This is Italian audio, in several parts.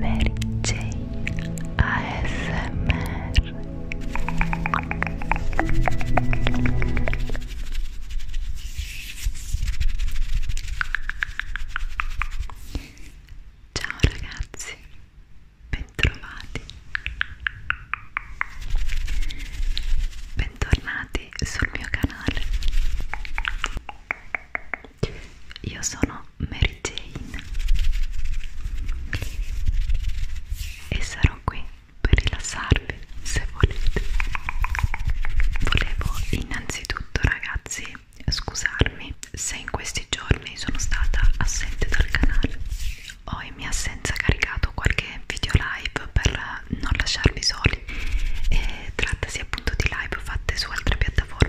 Mary J ASMR Ciao ragazzi, bentrovati Bentornati sul mio canale io sono Mary Jane e sarò qui per rilassarvi se volete volevo innanzitutto ragazzi scusarmi se in questi giorni sono stata assente dal canale ho in mia assenza caricato qualche video live per non lasciarvi soli e trattasi appunto di live fatte su altre piattaforme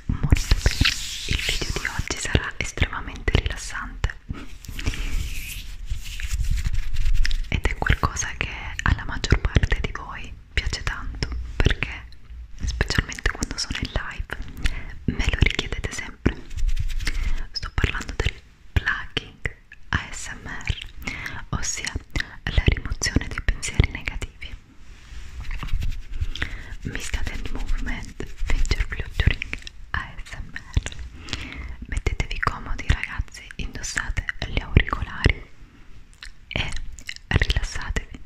molto bene il video di oggi sarà estremamente rilassante ed è qualcosa che alla maggior parte di voi piace tanto perché specialmente quando sono in live me lo richiedete sempre sto parlando del plugging ASMR ossia la rimozione dei pensieri negativi Missed movement, finger fluttering ASMR mettetevi comodi ragazzi indossate gli auricolari e rilassatevi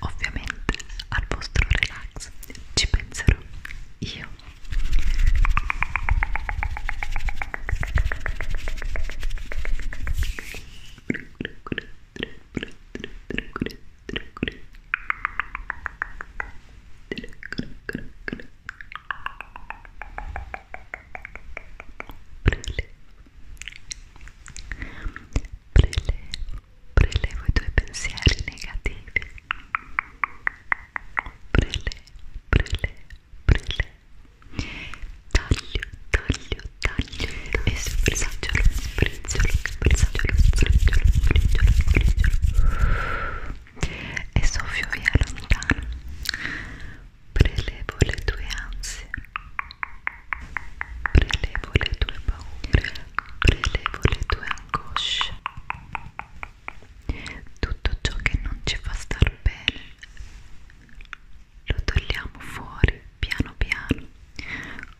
ovviamente al vostro relax ci penserò io prelevo i tuoi pensieri negativi prelevo, prelevo, prelevo taglio, taglio, taglio e sfriggialo brizzolo, brizzolo, brizzolo, brizzolo, brizzolo e soffio via lontano prelevo le tue ansie prelevo le tue paure prelevo le tue angosce tutto ciò che non ci fa star bene lo togliamo fuori piano piano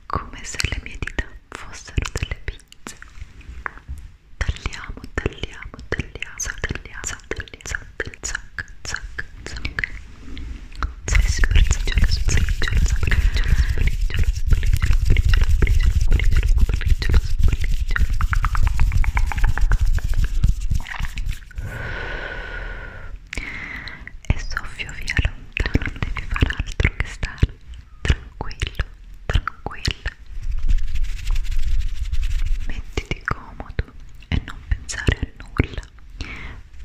come se le mie dita fossero delle pinze tagliamo, tagliamo, tagliamo saltelliamo, saltelliamo, saltelliamo zac, zac, zac spriggiolo, spriggiolo, spriggiolo, spriggiolo, spriggiolo, spriggiolo, spriggiolo, spriggiolo, spriggiolo e soffio via lontano, non devi far altro che stare tranquillo, tranquilla. Mettiti comodo e non pensare a nulla.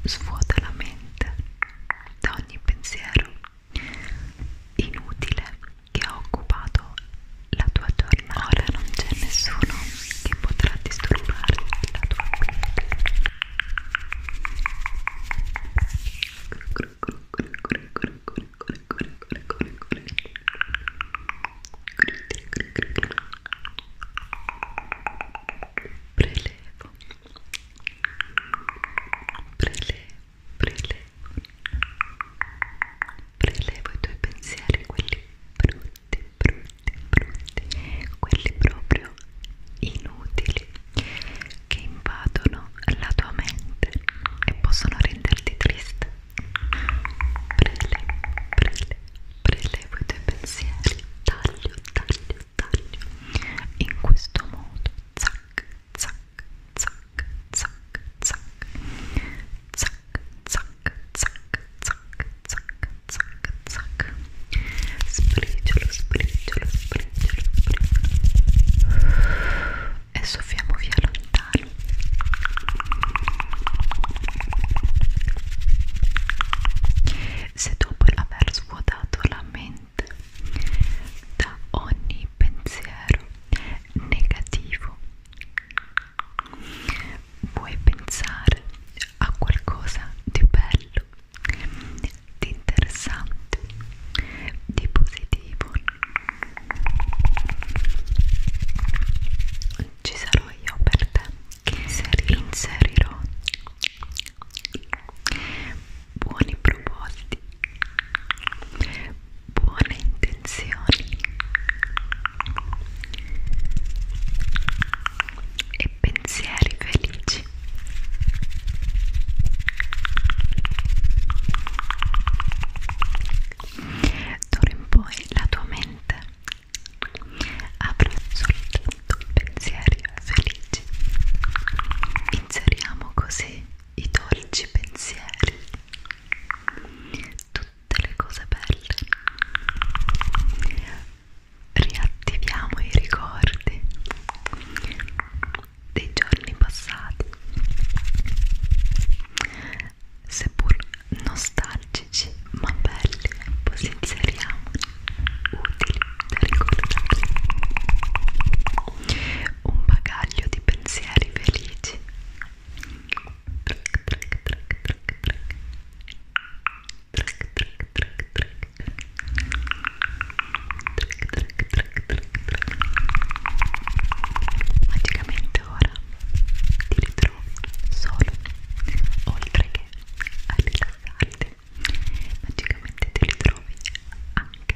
Svuota la mente da ogni pensiero inutile che ha occupato la tua giornata. Ora non c'è nessuno che potrà disturbare la tua mente prelevo prelevo prelevo prelevo i tuoi pensieri quelli brutti brutti brutti quelli proprio proprio inutili che invadono la tua mente e possono renderti triste. Prele, prele, prelevo i tuoi pensieri, taglio, taglio, taglio. In questo modo, zac, zac, zac, zac, zac, zac, zac, zac, zac, zac, zac, zac. Spriggiolo, spriggiolo, spriggiolo e soffiamo via lontano se dopo aver svuotato la mente da ogni pensiero negativo puoi pensare a qualcosa di bello di interessante, di positivo. Ci sarò io per te che inserirò, inserirò buoni propositi, buone intenzioni e pensieri felici così d'ora in poi la tua mente avrà soltanto pensieri felici inseriamo così i dolci pensieri tutte le cose belle riattiviamo i ricordi dei giorni passati, seppur nostalgici ma belli, posizioniamoli utili da ricordare. Un bagaglio di pensieri felici. Track, track, track, track, track. Track, track, track, track. Magicamente ora ti ritrovi solo, oltre che a rilassarti, magicamente ti ritrovi anche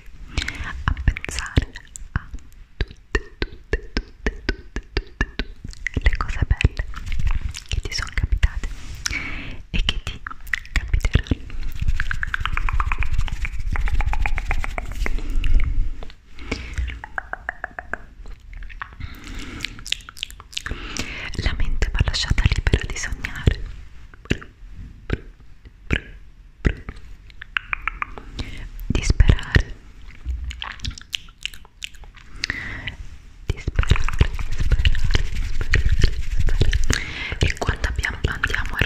a pensare a tutte, tutte, tutte, tutte, tutte, tutte le cose belle che ti sono capitate e che ti capiterà la mente va lasciata libera di sognare di sperare di sperare, sperare, sperare, sperare. E quando abbiamo, andiamo a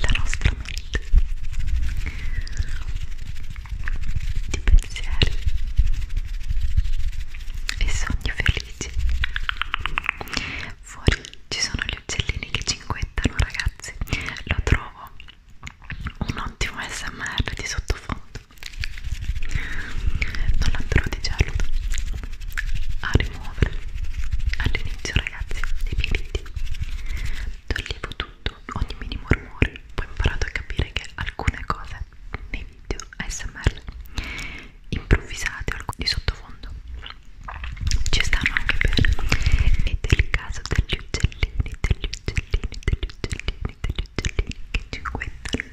la nostra mente di pensieri e sogni felici fuori ci sono gli uccellini che cinguettano ragazzi lo trovo un ottimo smr di sottofondo non andrò di giallo a rimuovere all'inizio ragazzi dei pigliti toglievo tutto, ogni minimo rumore poi ho imparato a capire che alcune cose nei video ASMR improvvisate alcuni di sottofondo ci stanno anche bene ed è il caso degli uccellini degli uccellini degli uccellini degli uccellini che ci guettano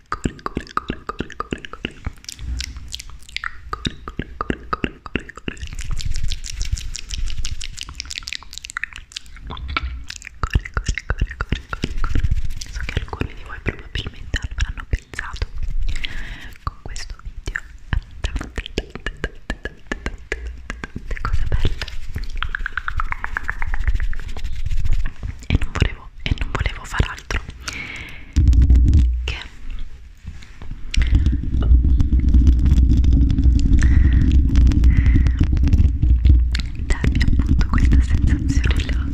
corri, corri, corri, corri, corri, corri, corri, corri, corri, corri, corri, corri. Corri, corri, corri, corri, corri, corri. So che alcuni di voi probabilmente avranno pensato con questo video a tante cose belle. E non volevo volevo e non volevo far altro che darvi appunto questa sensazione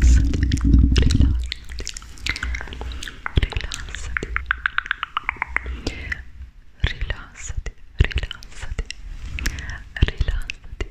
rilassati rilassati rilassati rilassati rilassati rilassati rilassati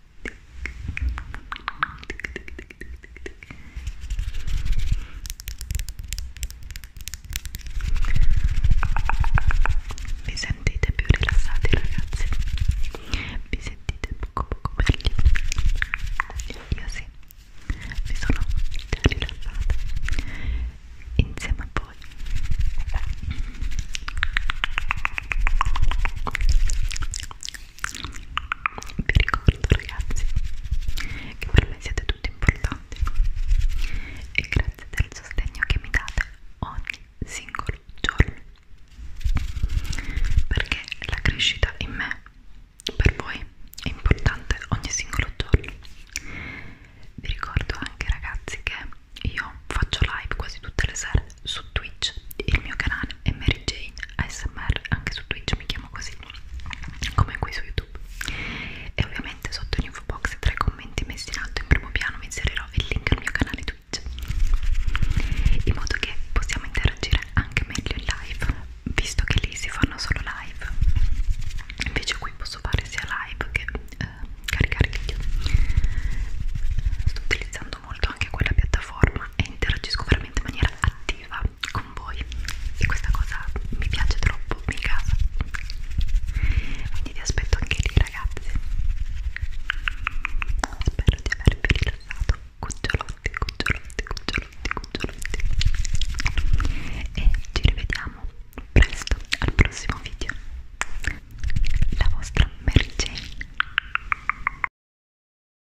Vi sentite più rilassati ragazzi? Vi sentite poco poco meglio? Io sì, mi sono già rilassata insieme a voi vi ricordo ragazzi che per me siete tutti importanti e grazie del sostegno che mi date ogni singolo giorno perché la crescita in me per voi è importante ogni singolo giorno vi ricordo anche ragazzi che io faccio live quasi tutte le sere su Twitch il mio canale Jan e Mary Jane ASMR anche su Twitch mi chiamo così come qui su YouTube e ovviamente sotto l'info box tra i commenti messi in alto in primo piano vi inserirò il link al mio canale Twitch in modo che possiamo interagire anche meglio in live visto che lì si fanno solo live invece qui posso fare sia live che eh, caricare video sto utilizzando molto anche quella piattaforma e interagisco veramente in maniera attiva con voi e questa cosa mi piace troppo, mi casa quindi ti aspetto anche lì ragazzi spero di avervi rilassato cucciolotti, cucciolotti, cucciolotti, cucciolotti e ci rivediamo presto al prossimo video la vostra Mary Jane